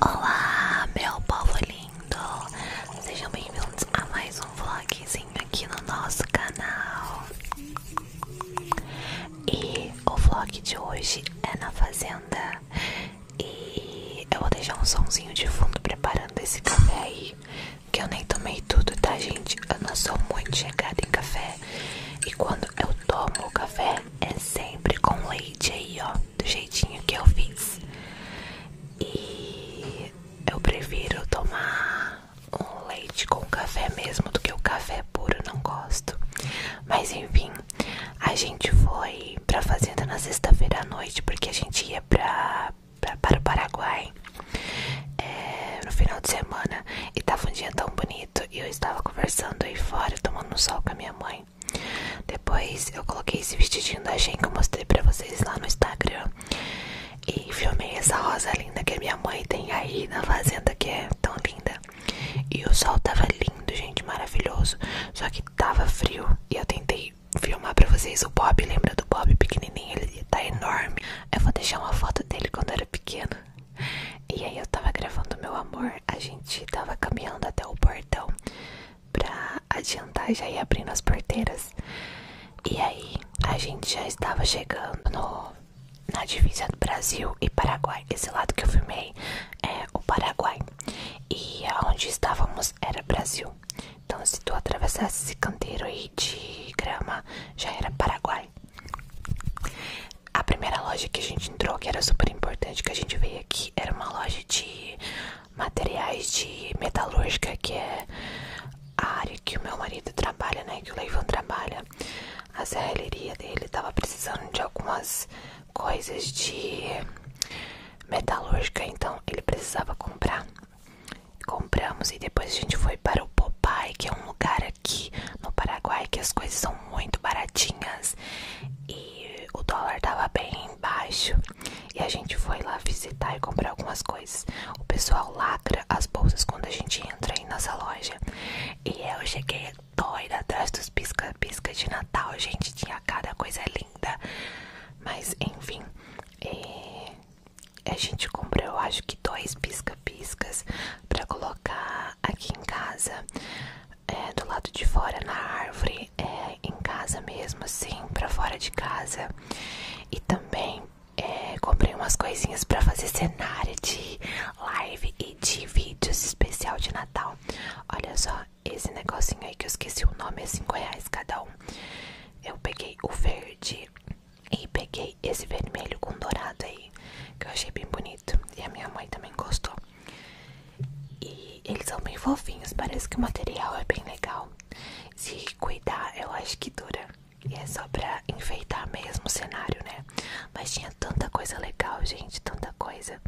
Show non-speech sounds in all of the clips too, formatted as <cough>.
Olá, meu povo lindo! Sejam bem-vindos a mais um vlogzinho aqui no nosso canal. E o vlog de hoje é na fazenda. E eu vou deixar um sonzinho de fundo preparando esse café aí. Que eu nem tomei tudo, tá, gente? Eu não sou muito chegada em café. E quando eu tomo o café, é sempre com leite aí, ó, do jeitinho que eu fiz. E eu prefiro tomar um leite com café mesmo do que o café puro, não gosto. Mas enfim, a gente foi pra fazenda na sexta-feira à noite, porque a gente ia pra, para o Paraguai é, no final de semana. E tava um dia tão bonito. E eu estava conversando aí fora, tomando sol com a minha mãe. Depois eu coloquei esse vestidinho da Shein que eu mostrei pra vocês lá no Instagram. E filmei essa rosa linda que a minha mãe tem aí na fazenda, que é tão linda. E o sol tava lindo, gente, maravilhoso. Só que tava frio e eu tentei filmar pra vocês o Bob. Lembra do Bob pequenininho? Ele tá enorme. Eu vou deixar uma foto dele quando eu era pequeno. E aí eu tava gravando meu amor. A gente tava caminhando até o portão pra adiantar já ir abrindo as porteiras. E aí a gente já estava chegando na divisa do Brasil e Paraguai. Esse lado que eu filmei é o Paraguai. E aonde estávamos era Brasil. Então se tu atravessasse esse canteiro aí de grama, já era Paraguai. A primeira loja que a gente entrou, que era super importante, que a gente veio que era uma loja de materiais de metalúrgica, que é a área que o meu marido trabalha, né? Que o Leivan trabalha. A serralheria dele tava precisando de algumas coisas de metalúrgica, então ele precisava comprar. Compramos e depois a gente foi para o Popai, que é um lugar aqui no Paraguai que as coisas são muito baratinhas o dólar tava bem baixo e a gente foi lá visitar e comprar algumas coisas. O pessoal lacra as bolsas quando a gente entra em nossa loja. E eu cheguei doida atrás dos pisca-pisca de Natal, gente. Tinha cada coisa linda. Mas enfim, é, a gente comprou, eu acho que dois pisca-piscas pra colocar aqui em casa, é, do lado de fora na árvore, é, em casa mesmo, assim, pra fora de casa. E também é, comprei umas coisinhas pra fazer cenário de live e de vídeos especial de Natal. Olha só, esse negocinho aí que eu esqueci o nome, é 5 reais cada um. Eu peguei o verde e peguei esse vermelho com dourado aí, que eu achei bem bonito. E a minha mãe também gostou. E eles são bem fofinhos, parece que o material é bem legal. Se cuidar, eu acho que dura. E é só pra enfeitar mesmo o cenário, né? Mas tinha tanta coisa legal, gente, tanta coisa.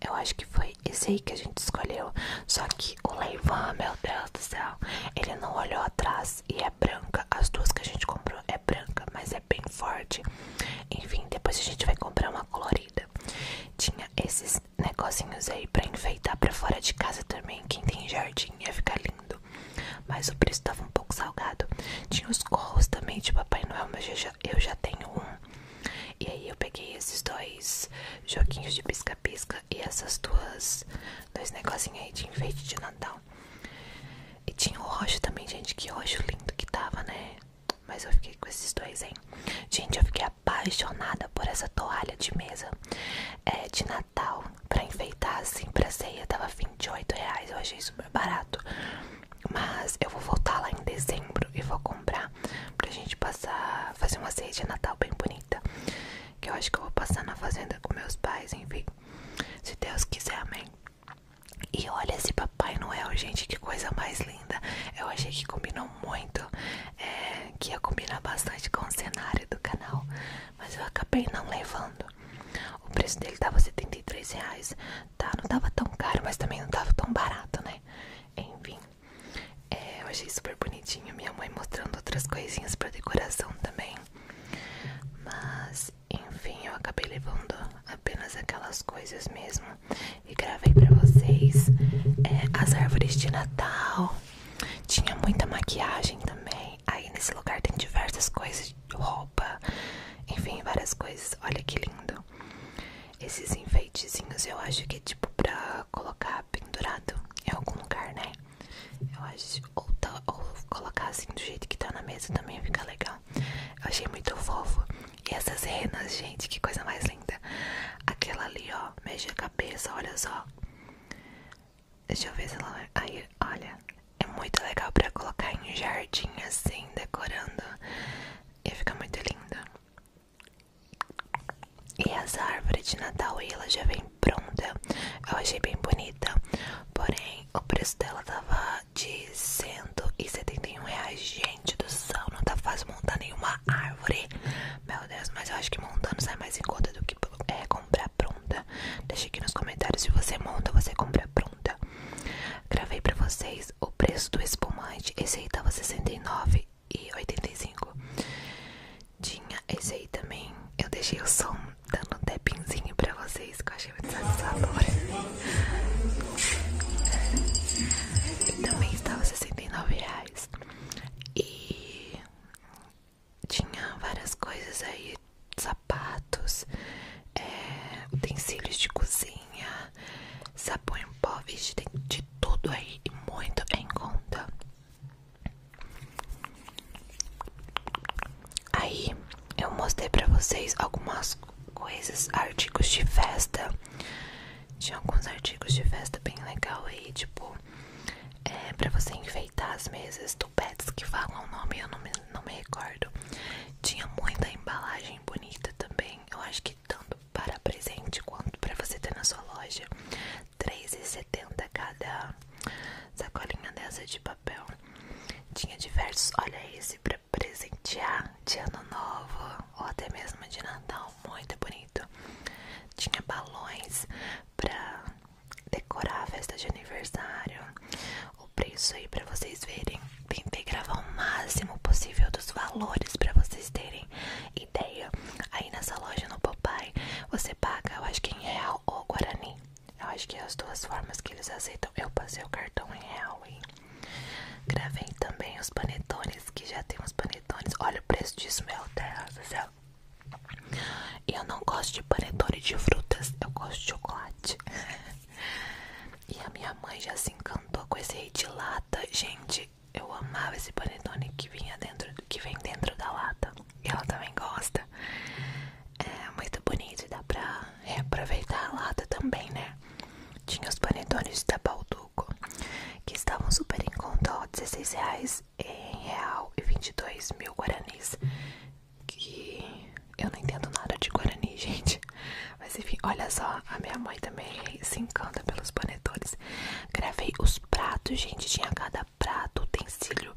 Eu acho que foi esse aí que a gente escolheu. Só que o Leivan, meu Deus do céu, ele não olhou atrás e é branca. As duas que a gente comprou é branca, mas é bem forte. Enfim, depois a gente vai comprar uma colorida tinha esses negocinhos aí pra enfeitar pra fora de casa também. Quem tem jardim ia ficar lindo. Mas o preço tava um pouco salgado. Tinha os corros também de Papai Noel, mas eu já, eu já tenho um. E aí eu peguei esses dois joguinhos de pisca-pisca e essas duas. dois negocinhos aí de enfeite de Natal. E tinha o roxo também, gente. Que roxo lindo que tava, né? Mas eu fiquei com esses dois, hein? Gente, eu fiquei apaixonada por essa toalha de mesa é, de Natal pra enfeitar assim pra ceia. Tava 28 reais, eu achei super barato. Mas eu vou voltar lá em dezembro e vou comprar pra gente passar, fazer uma ceia de Natal bem bonita. Que eu acho que eu vou passar na fazenda com meus pais, enfim. Se Deus quiser, amém. E olha esse Papai Noel, gente, que coisa mais linda. Eu achei que combinou muito, é, que ia combinar bastante com o cenário do canal, mas eu acabei não levando. O preço dele tava 73 reais, tá? Não tava tão caro, mas também não tava tão barato, né? Enfim, é, eu achei super bonitinho. Minha mãe mostrando outras coisinhas pra decoração também. Mas, enfim, eu acabei levando apenas aquelas coisas mesmo e gravei pra vocês é, as árvores de Natal. Tinha muita maquiagem também. Aí nesse lugar tem diversas coisas, roupa, enfim, várias coisas. Olha que lindo. Esses enfeitezinhos eu acho que é tipo pra colocar pendurado em algum lugar, né? Eu acho, ou, tá, ou colocar assim do jeito que tá na mesa também fica legal. Eu achei muito fofo. E essas renas, gente, que coisa mais linda. Aquela ali, ó, mexe a cabeça, olha só. Deixa eu ver se ela. Aí, olha. É muito legal pra colocar em jardim assim, decorando. E fica muito linda. E as árvores de Natal, ela já vem pronta. Eu achei bem bonita. Porém, o preço dela tava de 171 reais. Gente do céu, não tá fácil montar nenhuma árvore. Meu Deus, mas eu acho que montando sai mais em conta do que é, comprar pronta. Deixa aqui nos comentários se você monta, você compra pronta. Gravei pra vocês o preço do espumante. Esse aí tá tava 69 e 85. Tinha esse aí também. Eu deixei o som dando um tapinzinho pra vocês, que eu massagem muito sabor. E também estava 69 reais. E tinha várias coisas aí, sapatos, é, utensílios de cozinha, sabão em pó, vixe, de tudo aí e muito em conta. Aí eu mostrei pra vocês algumas coisas, artigos de festa. Tinha alguns artigos de festa bem legal aí, tipo, é, pra você enfeitar as mesas, tupetes que falam o nome, eu não me, não me recordo. Tinha muita embalagem bonita também, eu acho que tanto para presente quanto pra você ter na sua loja. R$3,70 cada sacolinha dessa de papel. Tinha diversos, olha esse pra presentear de ano novo ou até mesmo de Natal, muito bonito. Tinha balões pra decorar a festa de aniversário. O preço aí pra vocês verem. Tentei gravar o máximo possível dos valores pra vocês terem ideia. Aí nessa loja no Popeye você paga, eu acho que em real ou guarani. Eu acho que é as duas formas que eles aceitam. Eu passei o cartão em real, hein? Gravei também os panetones, que já tem os panetones. Olha o preço disso, meu Deus do céu. Eu não gosto de panetone de frutas, eu gosto de chocolate. E a minha mãe já se encantou com esse aí de lata. Gente, eu amava esse panetone que vinha dentro, que vem dentro da lata. E ela também gosta. É muito bonito e dá pra reaproveitar a lata também, né? Tinha os panetones da Balduco, que estavam super em conta, ó, 16 reais em real e 22 mil guaranis. Que eu não entendo nada de guarani, <laughs> gente. Mas enfim, olha só, a minha mãe também se encanta pelos panetones. Gravei os pratos, gente, tinha cada prato, utensílio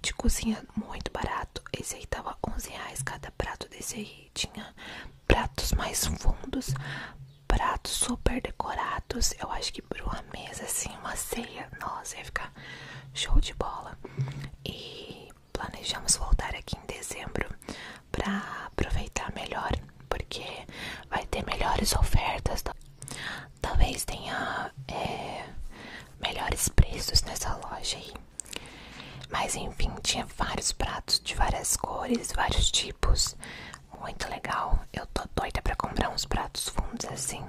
de cozinha muito barato. Esse aí tava 11 reais cada prato desse aí. Tinha pratos mais fundos, pratos super decorados. Eu acho que para uma mesa assim, uma ceia, nossa, ia ficar show de bola. E planejamos voltar aqui em dezembro para aproveitar melhor, porque vai ter melhores ofertas. Talvez tenha é, melhores preços nessa loja aí. Mas enfim, tinha vários pratos de várias cores, vários tipos. Muito legal. Eu tô doida pra comprar uns pratos fundos assim.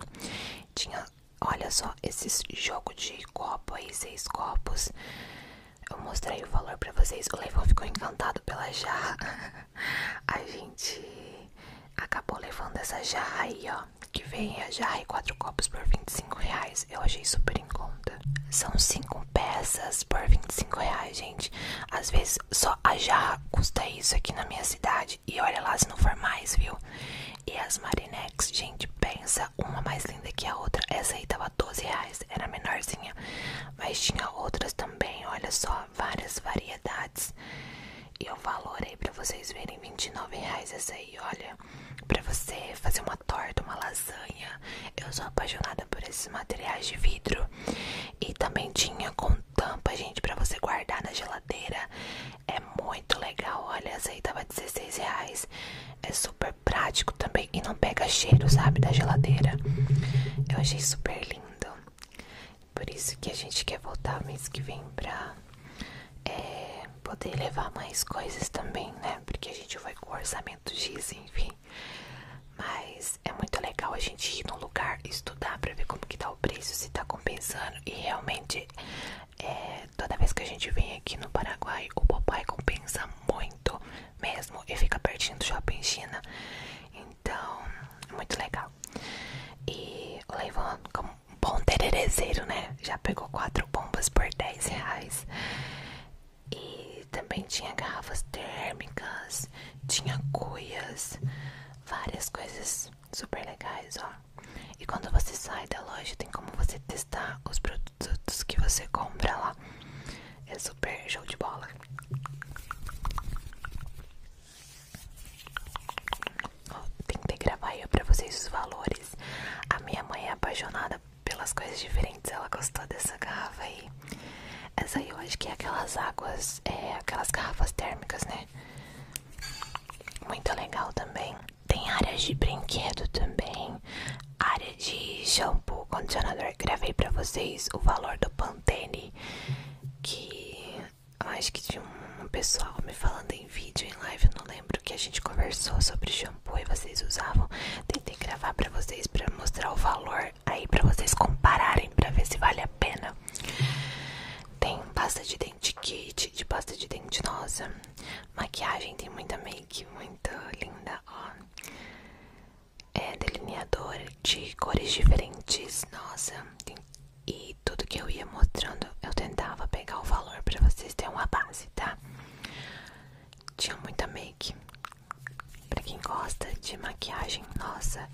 Tinha, olha só, esses jogo de copo aí, seis copos. Eu mostrei o valor pra vocês. O Levão ficou encantado pela jarra. <laughs> A gente acabou levando essa jarra aí, ó. Que vem a jarra quatro copos por 25 reais eu achei super em conta. São 5 peças por 25 reais, gente. Às vezes só a jarra custa isso aqui na minha cidade. E olha lá se não for mais, viu? E as Marinex, gente, pensa, uma mais linda que a outra. Essa aí tava 12 reais, era menorzinha. Mas tinha outras também, olha só, várias variedades. E o valor aí pra vocês verem, 29 reais essa aí, olha para você fazer uma torta, uma lasanha. Eu sou apaixonada por esses materiais de vidro. E também tinha com tampa, gente, para você guardar na geladeira. É muito legal. Olha, essa aí tava 16 reais. É super prático também e não pega cheiro, sabe, da geladeira. Eu achei super lindo. Por isso que a gente quer voltar mês que vem pra é, poder levar mais coisas também, né? Porque a gente vai com orçamento momentos dizem, enfim. Mas é muito legal a gente ir no lugar estudar pra ver como que tá o preço, se tá compensando. E realmente, é, toda vez que a gente vem aqui no Paraguai, o papai compensa muito mesmo. E fica pertinho do shopping China. Então, é muito legal. E o Leivan, como um bom tererezeiro, né? Já pegou quatro bombas por 10 reais. E também tinha garrafas térmicas, tinha cuias, várias coisas super legais, ó. E quando você sai da loja, tem como você testar os produtos que você compra lá. É super show de bola. Oh, tentei gravar eu para vocês os valores. A minha mãe é apaixonada pelas coisas diferentes, ela gostou dessa garrafa aí. Essa aí eu acho que é aquelas águas, é aquelas garrafas térmicas, né? Muito legal também. Tem áreas de brinquedo também, área de shampoo, condicionador. Gravei pra vocês o valor do Pantene, que eu acho que tinha um pessoal me falando em vídeo, em live, eu não lembro, que a gente conversou sobre shampoo vocês usavam. Tentei gravar pra vocês pra mostrar o valor aí pra vocês compararem pra ver se vale a pena. Tem pasta de dente kit, de pasta de dente nossa. Maquiagem tem muita make, muito linda, ó. É delineador de cores diferentes, nossa. E tudo que eu ia mostrando, eu tentava pegar o valor pra vocês terem uma base, tá? tinha muita make. Pra quem gosta de maquiagem, nossa,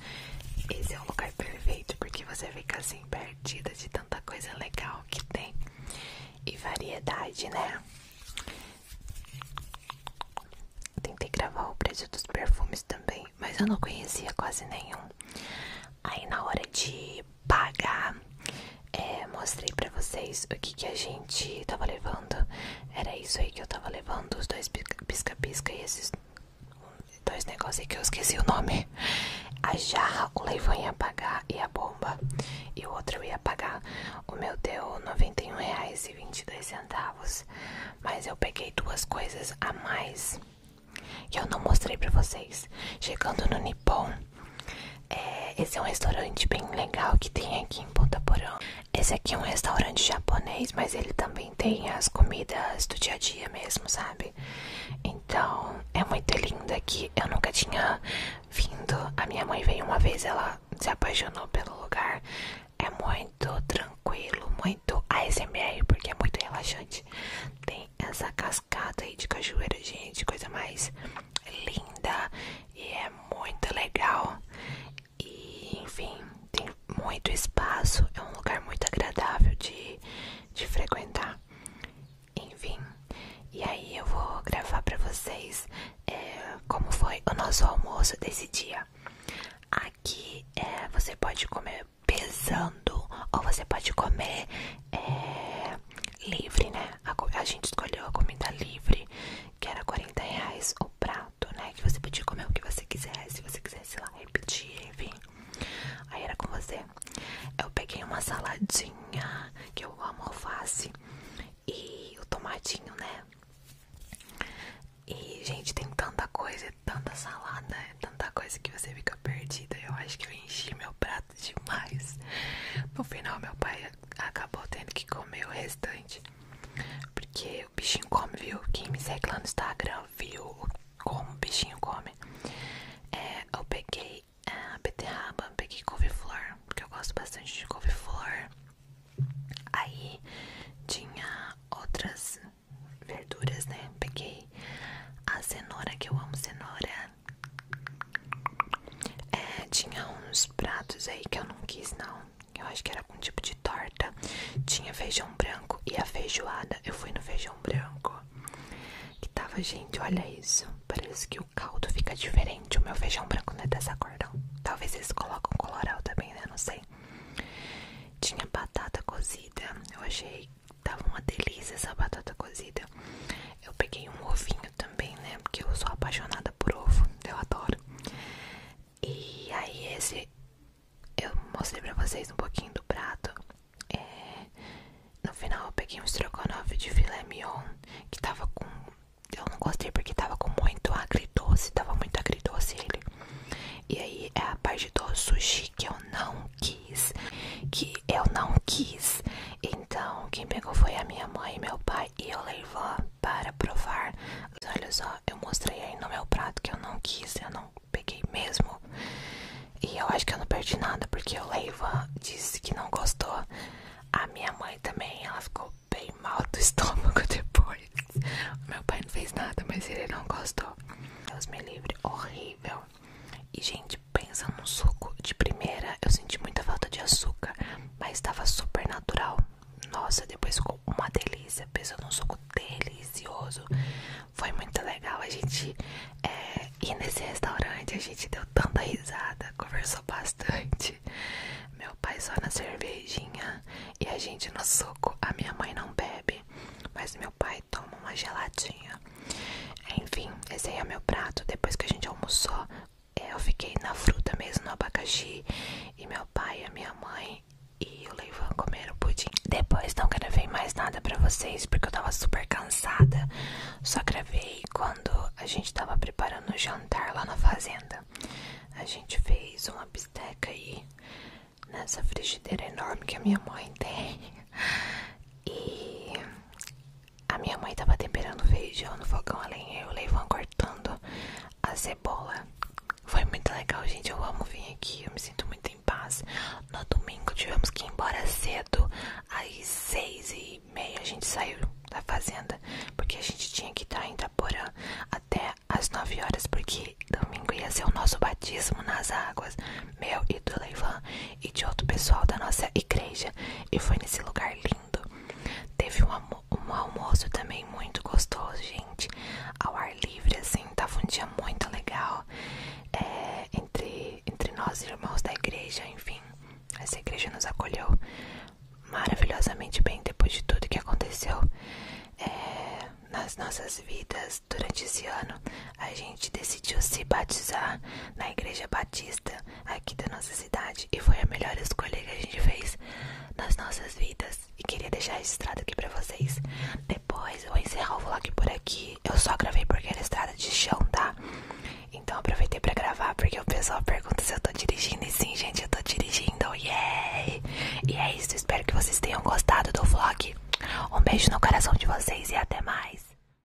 esse é o lugar perfeito porque você fica assim perdida de tanta coisa legal que tem e variedade, né? Tentei gravar o preço dos perfumes também, mas eu não conhecia quase nenhum. Aí na hora de pagar. É, mostrei pra vocês o que, que a gente tava levando. Era isso aí que eu tava levando: os dois pisca-pisca e esses dois negócios aí que eu esqueci o nome. A jarra, o leivão ia pagar e a bomba. E o outro ia pagar. O meu deu R$ 91,22. Mas eu peguei duas coisas a mais que eu não mostrei pra vocês. Chegando no Nippon, é, esse é um restaurante bem legal que tem aqui em Ponta Porã. Esse aqui é um restaurante japonês, mas ele também tem as comidas do dia a dia mesmo, sabe? Então é muito lindo aqui. Eu nunca tinha vindo. A minha mãe veio uma vez, ela se apaixonou pelo lugar. É muito tranquilo, muito ASMR, porque é muito relaxante. Tem essa cascata aí de cachoeira, gente, coisa mais linda e é muito legal. E enfim, tem muito espaço, é um lugar muito agradável de, de frequentar. Enfim, e aí eu vou gravar pra vocês é, como foi o nosso almoço desse dia. Aqui é, você pode comer pesando ou você pode comer é, livre, né? A, gente escolheu a comida livre, que era 40 reais o prato, né? Que você podia comer o que você quisesse, se você quisesse lá repetir, enfim. Aí era com você. Eu peguei uma saladinha, que eu amo alface, e o tomadinho né? E, gente, tem tanta coisa, é tanta salada, é tanta coisa que você fica perdida. Eu acho que eu enchi meu prato demais. No final, meu pai acabou tendo que comer o restante. Porque o bichinho come, viu? Quem me segue lá no Instagram viu como o bichinho come. É, eu peguei é, a beterraba, peguei couve-flor, porque eu gosto bastante de couve-flor. Aí tinha outras verduras, né? Peguei a cenoura, que eu amo cenoura, é, tinha uns pratos aí que eu não quis não. Eu acho que era algum tipo de torta. Tinha feijão branco e a feijoada. Eu fui no feijão branco. Que tava, gente, olha isso. Parece que o caldo fica diferente. O meu feijão branco não é dessa cor não. Talvez eles colocam colorau também, né? Não sei. Tinha batata cozida. Eu achei tava uma delícia essa batata cozida. Eu peguei um ovinho também, né? Porque eu sou apaixonada por ovo, eu adoro. E aí esse eu mostrei pra vocês um pouquinho do prato. É, no final eu peguei um estrogonofe de filé mignon que tava com. Eu não gostei porque tava com muito agridoce, tava muito agridoce ele. E aí é a parte do sushi que eu não quis. Que eu não quis. Então, quem pegou foi a minha mãe e meu pai e eu levou para provar. Olha só, eu mostrei aí no meu prato que eu não quis, eu não peguei mesmo. E eu acho que eu não perdi nada, porque eu levo disse que não gostou. A minha mãe também, ela ficou bem mal do <laughs> estômago depois. O meu pai não fez nada, mas ele não gostou. Deus me livre, horrível. E, gente, pensando no suco. De primeira, eu senti muita falta de açúcar, mas estava super natural. Nossa, depois ficou uma delícia. Pensa num suco delicioso. Foi muito legal a gente é, ir nesse restaurante. A gente deu tanta risada, conversou bastante. Meu pai só na cervejinha e a gente no suco. A minha mãe não bebe, mas meu pai toma uma geladinha. Enfim, esse aí é meu prato. Depois que a gente almoçou, eu fiquei na fruta mesmo, no abacaxi. E meu pai, a minha mãe e o Leivan comeram pudim. Depois não gravei mais nada pra vocês, porque eu tava super cansada. Só gravei quando a gente tava preparando o jantar lá na fazenda. A gente fez uma bisteca aí nessa frigideira enorme que a minha mãe tem. E a minha mãe tava temperando feijão no fogão além lenha e o Leivan cortando a cebola. Foi muito legal, gente. Eu amo vir aqui, eu me sinto muito em paz. No domingo tivemos que ir embora cedo, às seis e meia a gente saiu da fazenda, porque a gente tinha que estar em Itaporã até as nove horas, porque domingo ia ser o nosso batismo nas águas, meu e do Leivan e de outro pessoal da nossa igreja. E foi nesse lugar lindo. Teve um, almoço também muito gostoso, gente. Ao ar livre, assim, tava um dia muito legal. É, entre, entre nós, irmãos da igreja, enfim. Essa igreja nos acolheu maravilhosamente bem depois de tudo que aconteceu é, nas nossas vidas durante esse ano. A gente decidiu se batizar na Igreja Batista aqui da nossa cidade e foi a melhor escolha que a gente fez nas nossas vidas. E queria deixar registrado aqui pra vocês. Depois eu vou encerrar o vlog por aqui. Eu só gravei porque era estrada de chão, tá? Então aproveitei pra gravar porque o pessoal pergunta se eu tô dirigindo. E sim, gente, eu tô dirigindo. Yay! E é isso. Espero que vocês tenham gostado do vlog. Um beijo no coração de vocês e até mais.